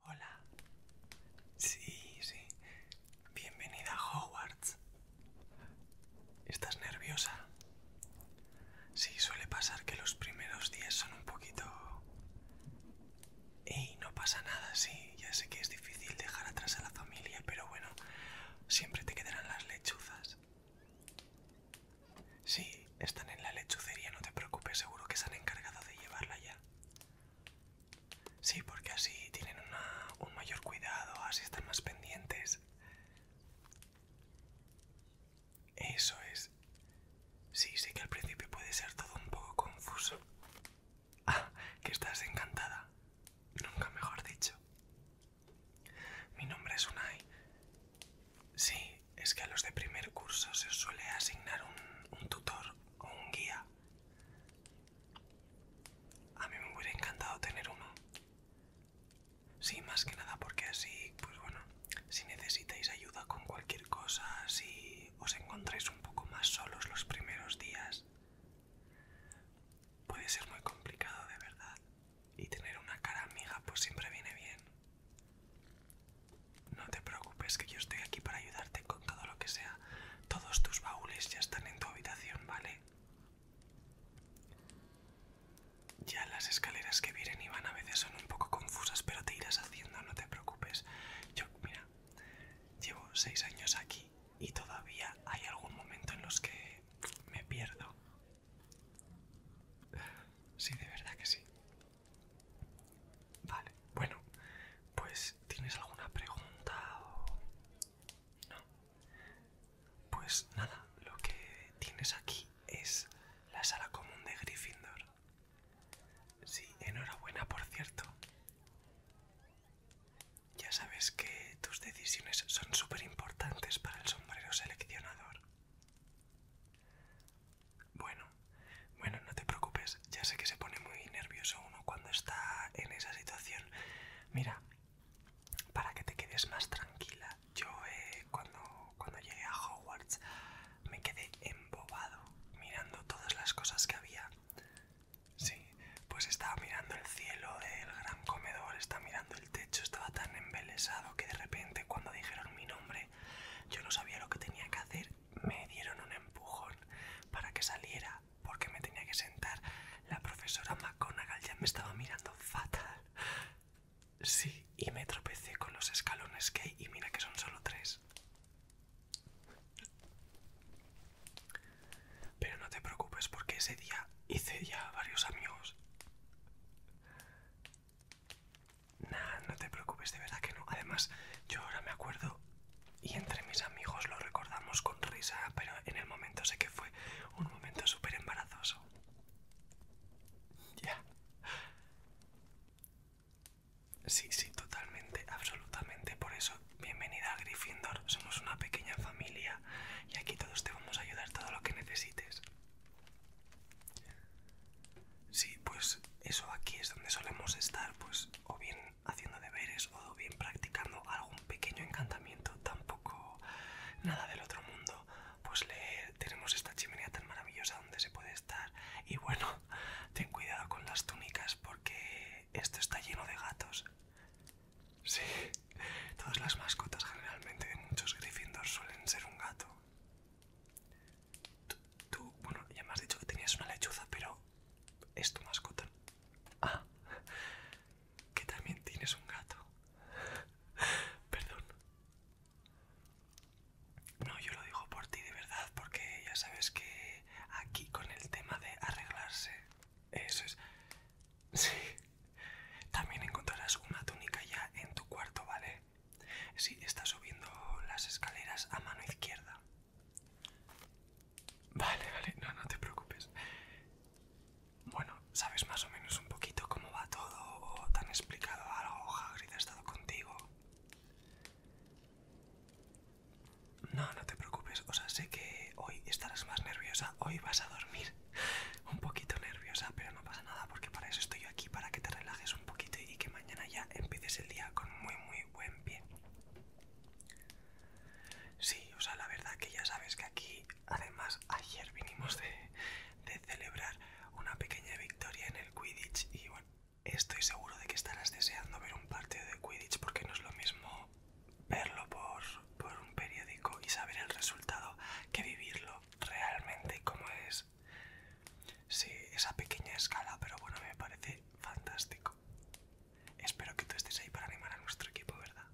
Hola. Sí, sí. Bienvenida a Hogwarts. ¿Estás nerviosa? Sí, suele pasar que los primeros días son un poquito... Y no pasa nada, sí. Ya sé que es difícil dejar atrás a la familia, pero bueno, siempre te quedarán las lechuzas. Sí, están en la lechucería, no te preocupes, seguro que se han encargado de llevarla ya. Sí, porque así tienen un mayor cuidado, así están más pendientes. Eso es. Sí, sí que al principio puede ser todo un poco confuso. Ah, que estás encantada. Nunca mejor dicho. Mi nombre es Unai. Sí, es que a los de primer curso se os suele asignar un, tutor o un guía. A mí me hubiera encantado tener uno. Sí, más que nada porque así, pues bueno, si necesitáis ayuda con cualquier cosa, si os encontráis un poco más solos los primeros días, puede ser muy complicado de verdad. Y tener una cara amiga pues siempre viene bien. No te preocupes, que yo estoy aquí para ayudarte con todo lo que sea. Todos tus baúles ya están en tu habitación, ¿vale? Ya las escaleras que vienen y van a veces son un poco confusas, pero te irás haciendo, no te preocupes. Yo, mira, llevo seis años aquí y todavía hay algún momento en los que me pierdo. Sí, de verdad que sí. Vale, bueno, pues ¿tienes alguna pregunta o no? Pues nada, lo que tienes aquí es la sala común de Gryffindor. Sí, enhorabuena, por cierto. Ya sabes que tus decisiones son súper importantes para el sombrero seleccionador. Bueno, bueno, no te preocupes. Ya sé que se pone muy nervioso uno cuando está en esa situación. Mira, para que te quedes más tranquila, yo eh, cuando, cuando llegué a Hogwarts me quedé embobado mirando todas las cosas que había. Sí, pues estaba mirando el cielo del gran comedor, estaba mirando el techo, estaba tan embelesado que de repente cuando dijeron mi nombre yo no sabía lo que tenía que hacer, me dieron un empujón para que saliera porque me tenía que sentar. La profesora McGonagall ya me estaba mirando fatal. Sí, y me tropecé con los escalones que hay y mira que son solo tres. Pero no te preocupes porque ese día hice ya varios amigos. Nah, no te preocupes, de verdad que no. Además, yo ahora me acuerdo y entre mis amigos lo recordamos con risa, pero en el momento sé que fue un momento súper embarazoso. Ya. Sí, sí, totalmente, absolutamente. Por eso, bienvenida a Gryffindor. Somos una pequeña familia y aquí todos te vamos a ayudar todo lo que necesites. Sí, pues eso aquí es donde solemos estar, pues o bien haciendo deberes o bien practicando algún pequeño encantamiento, tampoco nada del otro mundo. Pues tenemos esta chimenea tan maravillosa donde se puede estar. Y bueno, ten cuidado con las túnicas porque esto está lleno de gatos. Sí, todas las mascotas generalmente de muchos Gryffindor suelen ser un gato. Tú, bueno, ya me has dicho que tenías una lechuza, pero es tu mascota. Ah, que también tienes un gato. Perdón. No, yo lo digo por ti de verdad, porque ya sabes que aquí con el tema de arreglarse, eso es... Sí. También encontrarás una túnica ya en tu cuarto, ¿vale? Sí, está subiendo las escaleras a mano izquierda. Vale, vale, no, no te preocupes. Bueno, ¿sabes más o menos un poquito cómo va todo? ¿O te explicado algo? ¿Hagrid ha estado contigo? No, no te preocupes. O sea, sé que hoy estarás más nerviosa. Hoy vas a dormir un poquito nerviosa, pero no pasa nada porque para eso estoy aquí, para que te relajes un poquito y que mañana ya empieces el día con muy muy buen pie. Sí, o sea, la verdad que ya sabes que aquí, además, ayer vinimos de, de celebrar una pequeña victoria en el Quidditch y bueno, estoy seguro de que estarás deseando ver un partido de Quidditch porque no es lo mismo verlo por, por un periódico y saber el resultado que vivirlo realmente como es Sí, esa pequeña escala, pero bueno, me parece fantástico. Espero que tú estés ahí para animar a nuestro equipo, ¿verdad?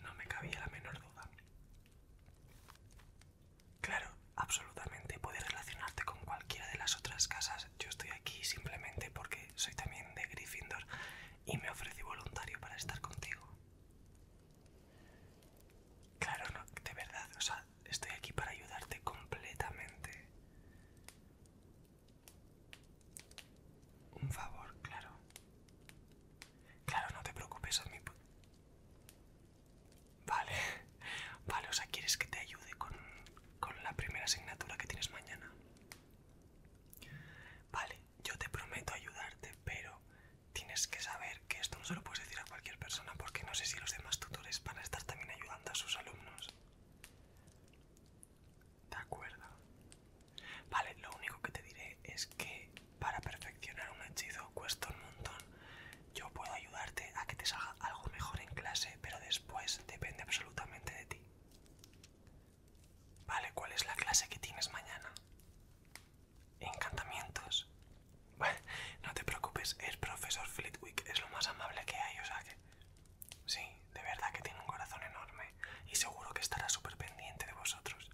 No me cabía la menor duda. Claro, absolutamente. Puedes relacionarte con cualquiera de las otras casas. Yo estoy aquí simplemente porque soy también de Gryffindor y me ofrecí voluntario para estar contigo. Claro, no, de verdad, o sea, estoy aquí para ayudarte completamente. Un favor, claro. Claro, no te preocupes, a mi, Vale, vale, o sea, ¿quieres que te ayude con, con la primera asignatura que tienes mañana? Vale, yo te prometo ayudarte, pero tienes que saber que esto no se lo puedes decir a cualquier persona porque no sé si los demás tutores van a estar también ayudando a sus alumnos. De acuerdo. Vale, lo único que te diré es que para perfeccionar un hechizo cuesta un montón. Yo puedo ayudarte a que te salga algo mejor en clase, pero después depende absolutamente de ti. Vale, ¿cuál es la clase que tienes mañana? encantamientos. Bueno, no te preocupes, el profesor Flitwick es lo más amable que hay, o sea que... Sí, de verdad que tiene un corazón enorme y seguro que estará súper pendiente de vosotros.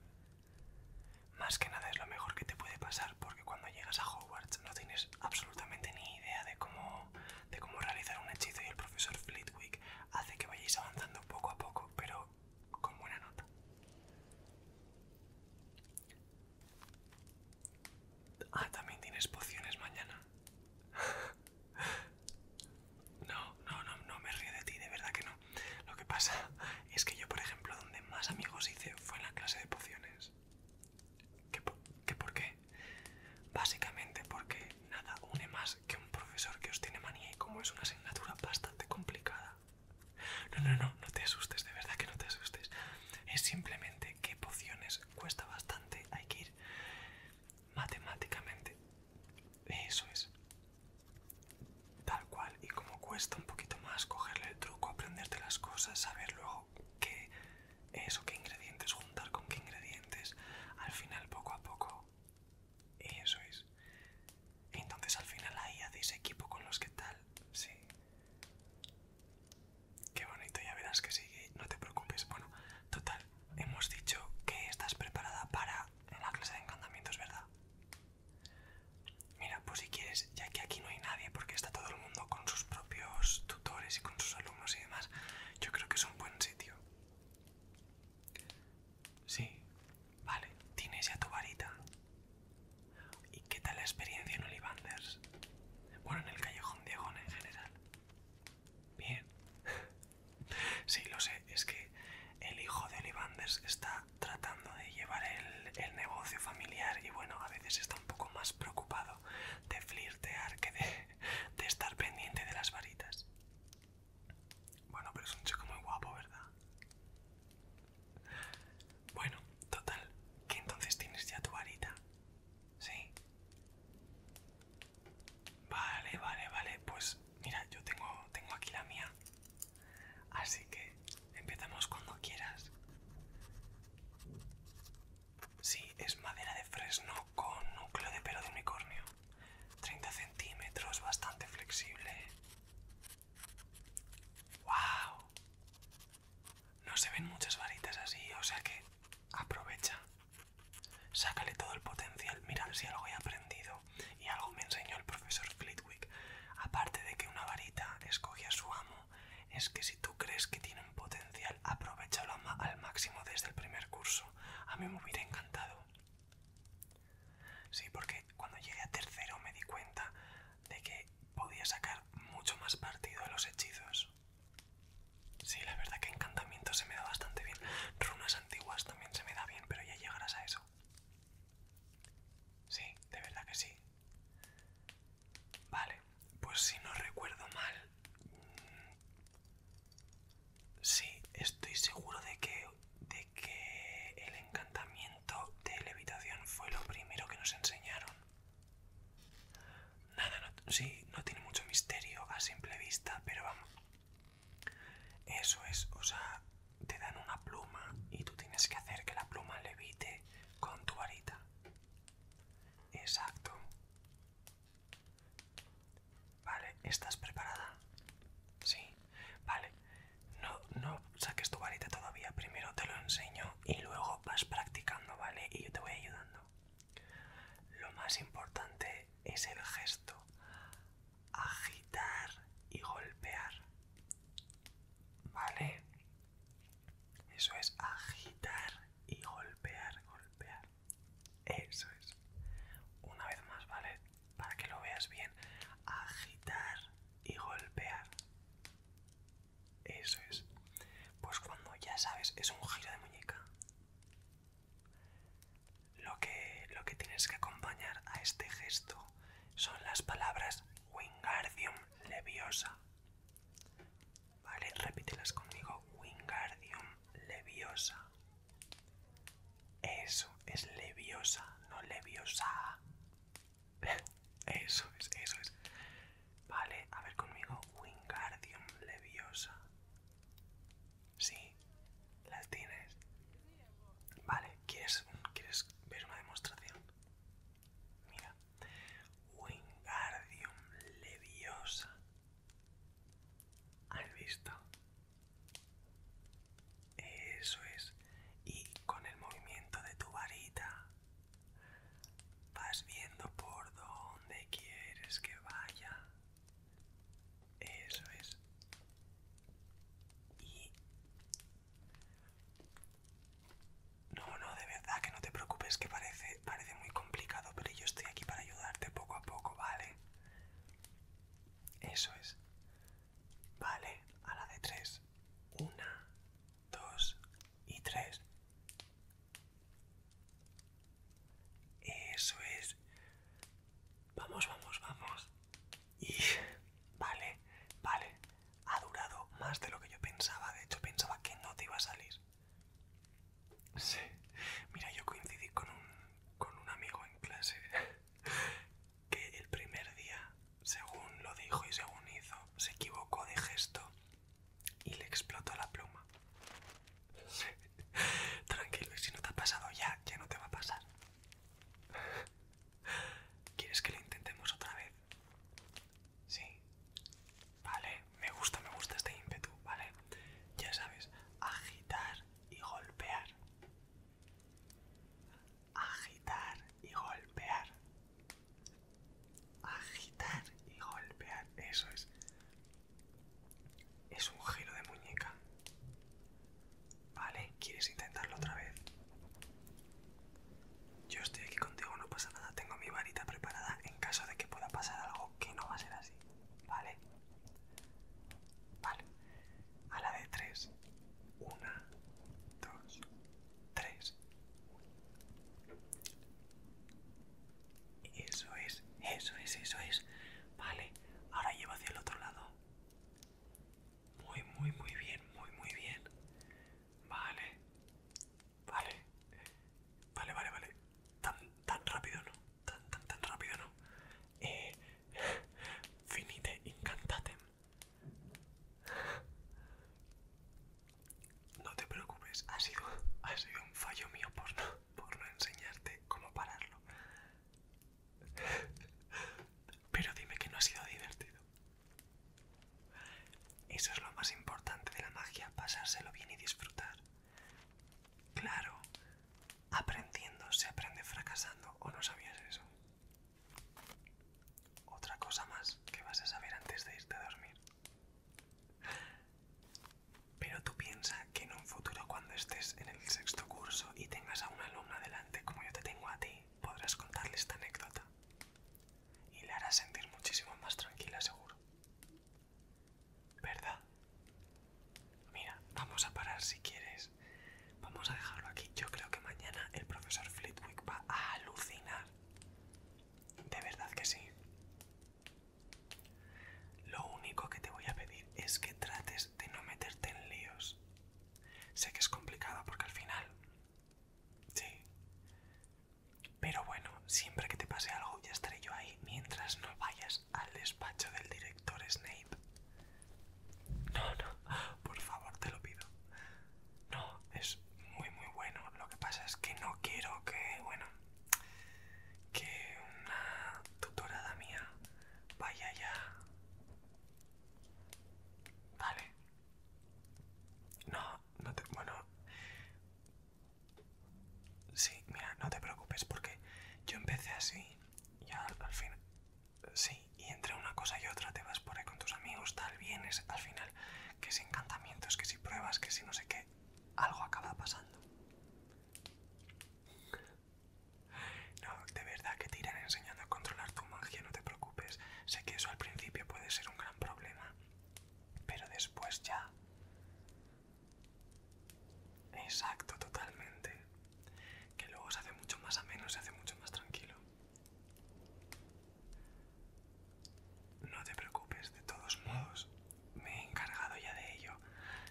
Más que nada es lo mejor que te puede pasar porque cuando llegas a Hogwarts no tienes absolutamente ni idea de cómo, de cómo realizar un hechizo y el profesor Flitwick hace que vayáis avanzando poco a poco, pero con buena nota. Ah, también tienes pociones mañana. No, no, no, no me río de ti, de verdad que no. Lo que pasa es que yo, por ejemplo, donde más amigos hice fue en la clase de pociones. ¿Qué por qué? Básicamente porque nada une más que un profesor que os tiene manía y como es una asignatura bastante complicada. No, no, no, no te asustes, de verdad que no te asustes. Es simplemente que pociones cuesta bastante, hay que ir matemáticamente. Eso es. Tal cual, y como cuesta un poquito más cogerle el truco, aprenderte las cosas, saber luego qué eso, qué ingredientes juntar con qué ingredientes, al final poco a poco y Eso es. Entonces al final ahí hacéis equipo con los que tal. Sí. Qué bonito, ya verás que sigue, no te preocupes. Bueno, total, hemos dicho que estás preparada para la clase de encantamientos, ¿verdad? Mira, pues si quieres, ya que aquí no hay nadie, porque está todo el mundo con sus propios tutores y con sus alumnos y demás, yo creo que es un buen sitio. Sí, vale, tienes ya tu varita. ¿Y qué tal la experiencia en Olivanders? Bueno, en el Callejón de en general. Bien. sí, lo sé, es que el hijo de Olivanders está tratando de llevar el, negocio familiar y bueno, a veces está un poco más preocupado de flirtear que de, de estar pendiente de las varitas. Bueno, pero es un chico muy guapo, ¿verdad? Bueno, total, que entonces tienes ya tu varita. ¿Sí? Vale, vale, vale. Pues mira, yo tengo, tengo aquí la mía. Así que empezamos cuando quieras. Sí, es madera de fresno con núcleo de pelo de unicornio. 30 centímetros, bastante flexible. No se ven muchas varitas así, o sea que aprovecha. Sácale todo el potencial. Mirad si algo he aprendido y algo me enseñó el profesor Flitwick. Aparte de que una varita escoge a su amo, es que si tú crees que tiene un potencial, aprovechalo al máximo desde el primer curso. A mí me hubiera encantado. Sí, porque cuando llegué a tercero me di cuenta de que podía sacar mucho más partido a los hechizos. Sí, la verdad que encantamiento se me da bastante bien. Runas antiguas también se me da bien, pero ya llegarás a eso. Sí, de verdad que sí. Vale, pues si no recuerdo mal, Sí, estoy seguro de que, el encantamiento de levitación fue lo primero que nos enseñaron. Nada, sí, no tiene mucho misterio a simple vista, pero vamos. Eso es, o sea, te dan una pluma y tú tienes que hacer que la pluma levite con tu varita. Exacto. Vale, ¿estás preparada? Sí, vale. No, no saques tu varita todavía, primero te lo enseño y luego vas practicando, ¿vale? Y yo te voy ayudando. Lo más importante es el gesto. Agitar y golpear. ¿Vale? Eso es agitar y golpear, golpear. Eso es. Una vez más, ¿vale? Para que lo veas bien. Agitar y golpear. Eso es. Pues cuando ya sabes, es un giro de muñeca. Lo que, tienes que acompañar a este gesto son las palabras Wingardium Leviosa. ¿Vale? Repítelas conmigo. Wingardium Leviosa. Eso es leviosa, no leviosa. Eso es, eso es. Vale, a ver conmigo. Wingardium leviosa. Sí, las tienes. Vale, ¿quieres, ¿quieres ver una demostración? Mira. Wingardium leviosa. ¿Has visto? Eso es. Y con el movimiento de tu varita vas viendo por dónde quieres que vaya. Eso es. Y... No, no, de verdad que no te preocupes, que parece, parece muy complicado, pero yo estoy aquí para ayudarte poco a poco, ¿vale? Eso es. Vale, a la de tres. Una, dos y tres. Eso es. Vamos, vamos, vamos. Y vale, vale. Ha durado más de lo que yo pensaba. De hecho, pensaba que no te iba a salir. Sí. Mira, yo coincidí con un, con un amigo en clase que el primer día, según lo dijo y según hizo, se equivocó de gesto y le explotó la pluma. Tranquilo, y si no te ha pasado ya, ya no te va a pasar. ¿Quieres que lo intentemos otra vez? Sí. Vale me gusta, me gusta este ímpetu, ¿vale? Ya sabes, agitar y golpear. Agitar y golpear. Agitar y golpear. Eso es. Es un giro de muñeca. ¿Vale? ¿Quieres intentarlo otra vez? Yo estoy aquí contigo, no pasa nada. Tengo mi varita preparada en caso de que pueda pasar algo que no va a ser así. ¿vale? Vale. A la de tres. Una, dos, tres. Eso es, eso es, eso es. Vale, ahora lleva hacia el otro lado. Muy, muy, muy bien, muy, muy bien. Vale. Vale. Vale, vale, vale. Tan, tan rápido no tan tan tan rápido no eh, finite incantatem no te preocupes ha sido ha sido un fallo mío por no enseñarte cómo pararlo pero dime que no ha sido divertido eso es lo más importante de la magia pasárselo bien y disfrutar Claro, aprendiendo se aprende fracasando, ¿o no sabías eso? Otra cosa más que vas a saber antes de irte a dormir. Pero tú piensas que en un futuro cuando estés en el sexto curso y tengas a una alumna delante como yo te tengo a ti, podrás contarle esta anécdota. Y le harás sentir muchísimo más tranquila, seguro. ¿Verdad? Mira, vamos a parar si quieres. Vamos a dejarlo aquí. Yo creo que mañana el profesor Flitwick va a alucinar. De verdad que sí. Lo único que te voy a pedir es que trates de no meterte en líos. Sé que es complicado porque al final... Sí. Pero bueno, siempre que te pase algo ya estaré yo ahí mientras no vayas al despacho del director Snape. No, no, por favor te lo pido. No, es muy muy bueno. Lo que pasa es que no quiero que, bueno, que una tutorada mía vaya ya. Vale. No, no te... Bueno, Sí, mira, no te preocupes porque yo empecé así y al, final Sí, y entre una cosa y otra te vas por ahí con tus amigos, tal, vienes, al final, que si encantamientos, que si pruebas, que si no sé qué, algo acaba pasando. No, de verdad que te irán enseñando a controlar tu magia, no te preocupes. Sé que eso al principio puede ser un gran problema, pero después ya... Exacto, totalmente. Que luego se hace mucho más ameno, se hace mucho más tranquilo. No te preocupes, de todos modos, me he encargado ya de ello.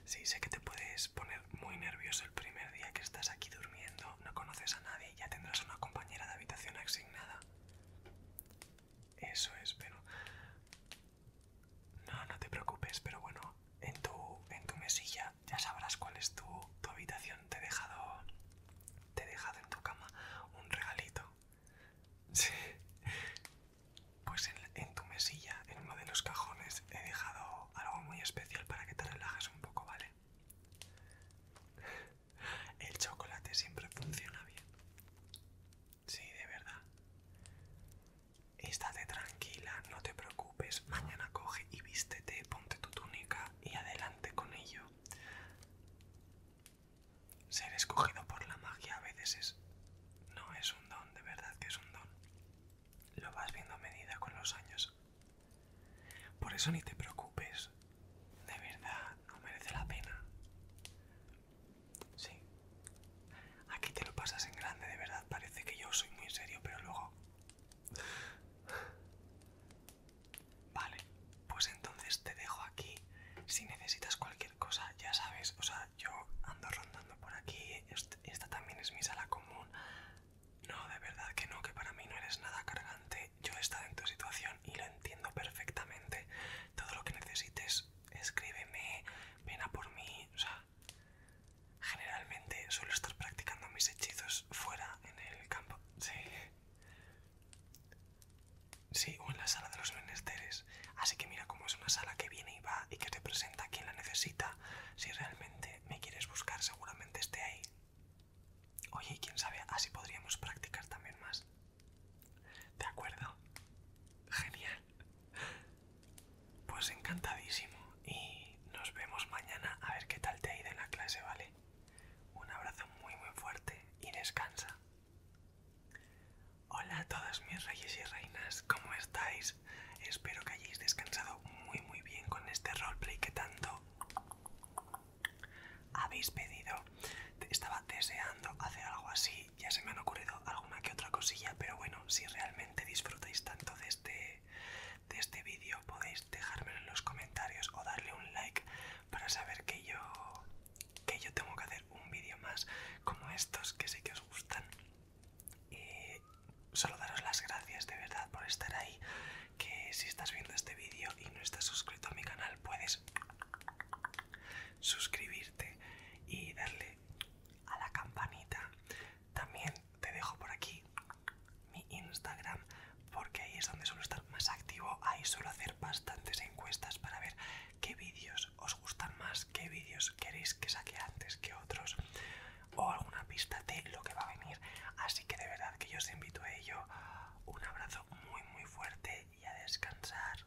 Sí, sé que te puedes poner muy nervioso el primer día que estás aquí durmiendo, no conoces a nadie ya tendrás una compañera de habitación asignada. Eso es, pero... No, no te preocupes, pero bueno, en tu, en tu mesilla ya sabrás cuál es tu, habitación. Te he, dejado, te he dejado en tu cama un regalito. Sí. Pues en, en tu mesilla, en uno de los cajones, he dejado algo muy especial para que te relajes un poco, ¿vale? El chocolate siempre funciona bien. Sí, de verdad. Estate tranquila, no te preocupes. Mañana coge y vístete, ponte tu túnica y adelante con ello. Ser escogido por la magia a veces es... No, es un don, de verdad que es un don. Lo vas viendo a medida con los años. Por eso ni te preocupes. De verdad, no merece la pena. Sí. Aquí te lo pasas en grande, de verdad. Parece que yo soy muy serio, pero luego... Vale, pues entonces te dejo aquí. Si necesitas cualquier cosa, ya sabes, o sea, yo ando rondando por aquí. Esta también es mi sala común. No, de verdad que no, que para mí no eres nada cargante. Yo he estado en tu situación y lo entiendo perfectamente todo lo que necesites, escríbeme, ven a por mí, o sea, generalmente suelo estar practicando mis hechizos fuera en el campo, sí, sí, o en la sala de los menesteres, así que mira cómo es una sala que viene y va y que te presenta a quien la necesita, si realmente me quieres buscar seguramente esté ahí. Oye, quién sabe, así podríamos practicar también más. ¿De acuerdo? Genial. Pues encantadísimo. Y nos vemos mañana a ver qué tal te ha ido en la clase, ¿vale? Un abrazo muy muy fuerte y descansa. Hola a todas mis reyes y reinas, ¿cómo estáis? Espero que hayáis descansado muy muy bien con este roleplay que tanto habéis pedido. Estaba deseando hacer algo así, ya se me han ocurrido alguna que otra cosilla, pero bueno, si realmente disfrutáis tanto de este, de este vídeo, podéis dejármelo en los comentarios o darle un like para saber que yo, que yo tengo que hacer un vídeo más como estos que sé que os gustan. Y solo daros las gracias de verdad por estar ahí, que si estás viendo este vídeo y no estás suscrito a mi canal, puedes suscribirte y darle a la campanita. También te dejo por aquí mi Instagram porque ahí es donde suelo estar más activo. Ahí suelo hacer bastantes encuestas para ver qué vídeos os gustan más, qué vídeos queréis que saque antes que otros o alguna pista de lo que va a venir. Así que de verdad que yo os invito a ello. Un abrazo muy muy fuerte y a descansar.